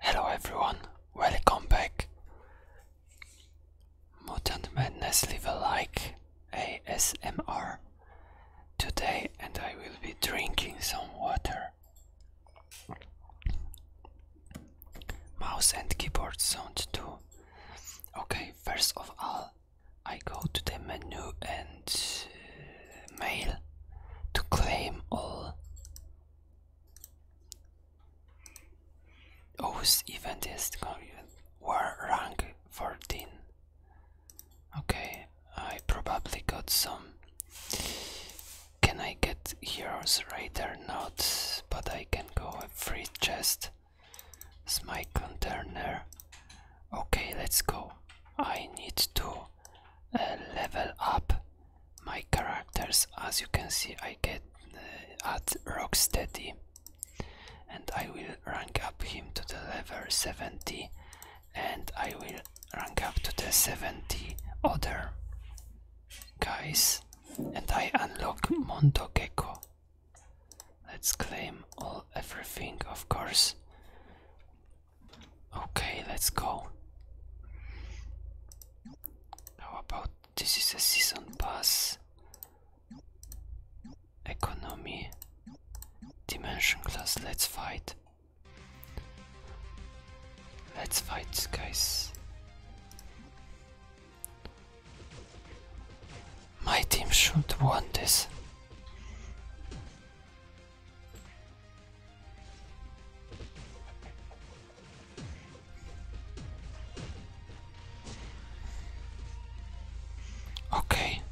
Hello everyone, welcome back. Mutant Madness Leave a Like ASMR today, and I will be drinking some water. Mouse and keyboard sound too. Okay, first of all, I go to the menu and uh, mail to claim all Whose event is were ranked 14. Okay, I probably got some. Can I get heroes radar? Not, but I can go a free chest. my container. Okay, let's go. I need to uh, level up my characters. As you can see, I get uh, at Rocksteady and I will rank up him to the level 70 and I will rank up to the 70 other guys and I unlock Mondo Gecko. Let's claim all everything of course. Okay, let's go. How about this is a season pass? Economy. Dimension class, let's fight. Let's fight, guys. My team should want this. Okay,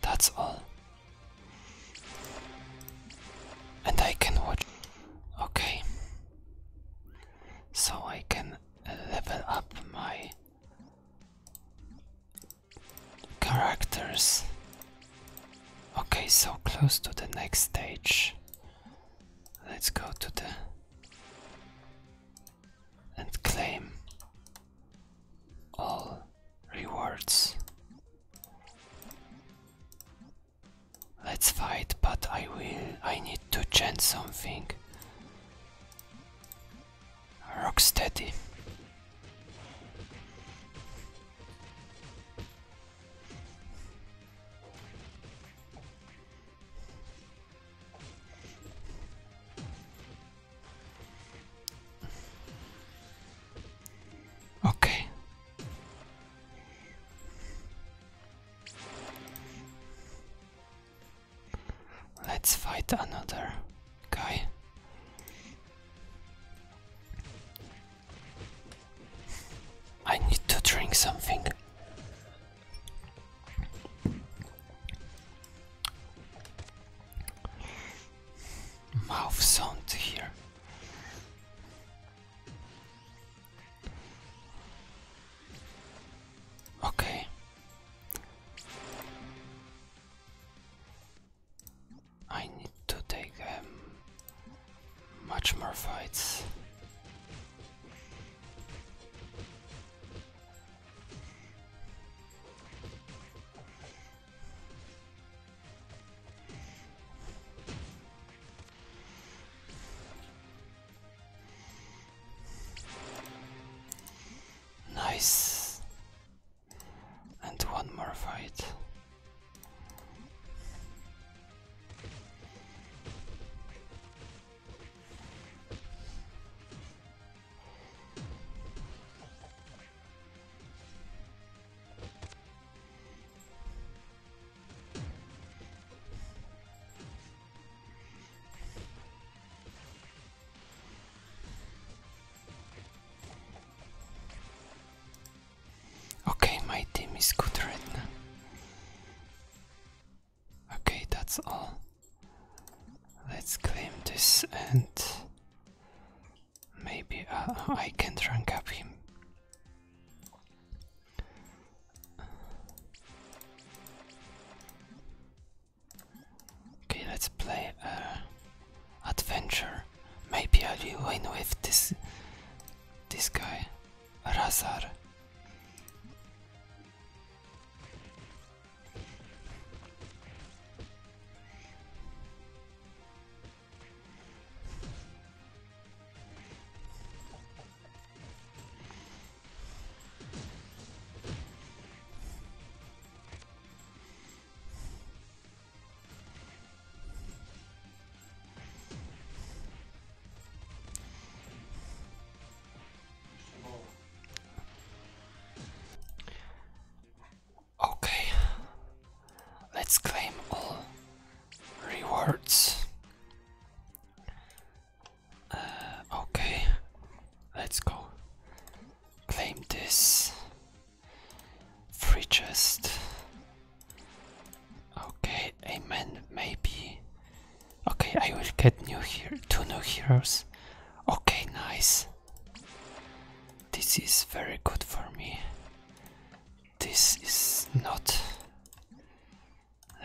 that's all. And I can watch. Okay, so I can level up my characters. Okay, so close to the next stage. Let's go to the and claim all rewards. Let's fight, but I will I need to change something. Rocksteady. Okay. Let's fight another guy. I need to drink something. Mouth sound here. Okay. I need to take um, much more fights. Nice and one more fight. Okay, my team is good right now. Okay, that's all. Let's claim this and maybe uh, uh, I can rank up him. Okay, let's play uh, adventure. Maybe I'll win with this this guy, Razar. Okay, let's claim all rewards. Uh, okay, Let's go. Claim this. Free chest. Okay, amen, maybe. Okay, I will get new here two new heroes. Okay, nice. This is very good for me. This is not.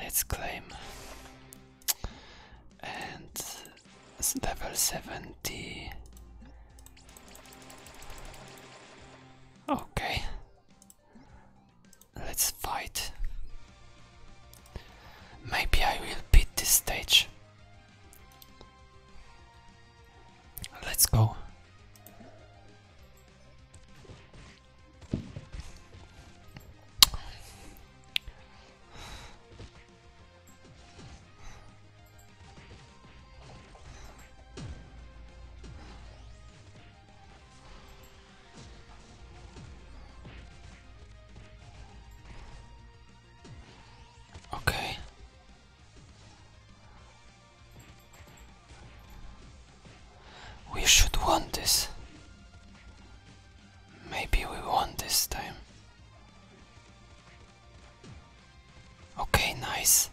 Let's claim. And level 70. Okay. Let's fight. Maybe I will beat this stage. Let's go. Okay. We should want this. Maybe we won this time. Okay, nice.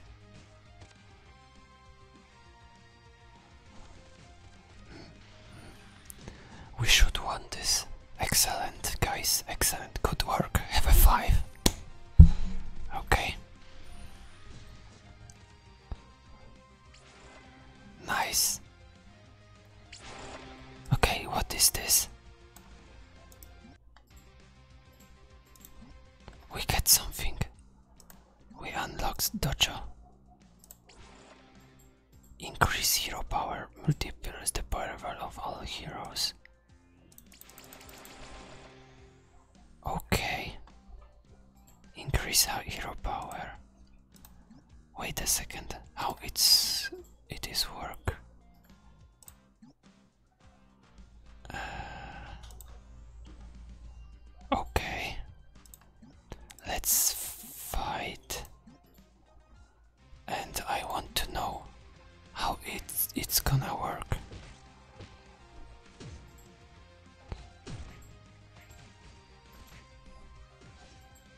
We should want this. Excellent, guys. Excellent. Good work. Have a five. Okay. Nice. Okay, what is this? We get something. We unlocked Dojo. Increase hero power multiplies the power level of all heroes. Okay. Increase our hero power. Wait a second. How oh, it's it is work. Uh, okay, let's fight. And I want to know how it's it's gonna work.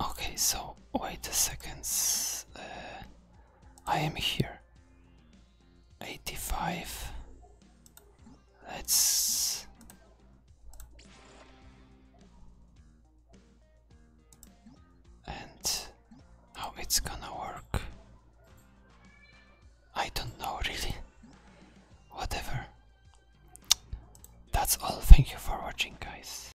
Okay, so wait a second. Uh, I am here. 85. Let's. And how it's gonna work. I don't know really. Whatever. That's all. Thank you for watching, guys.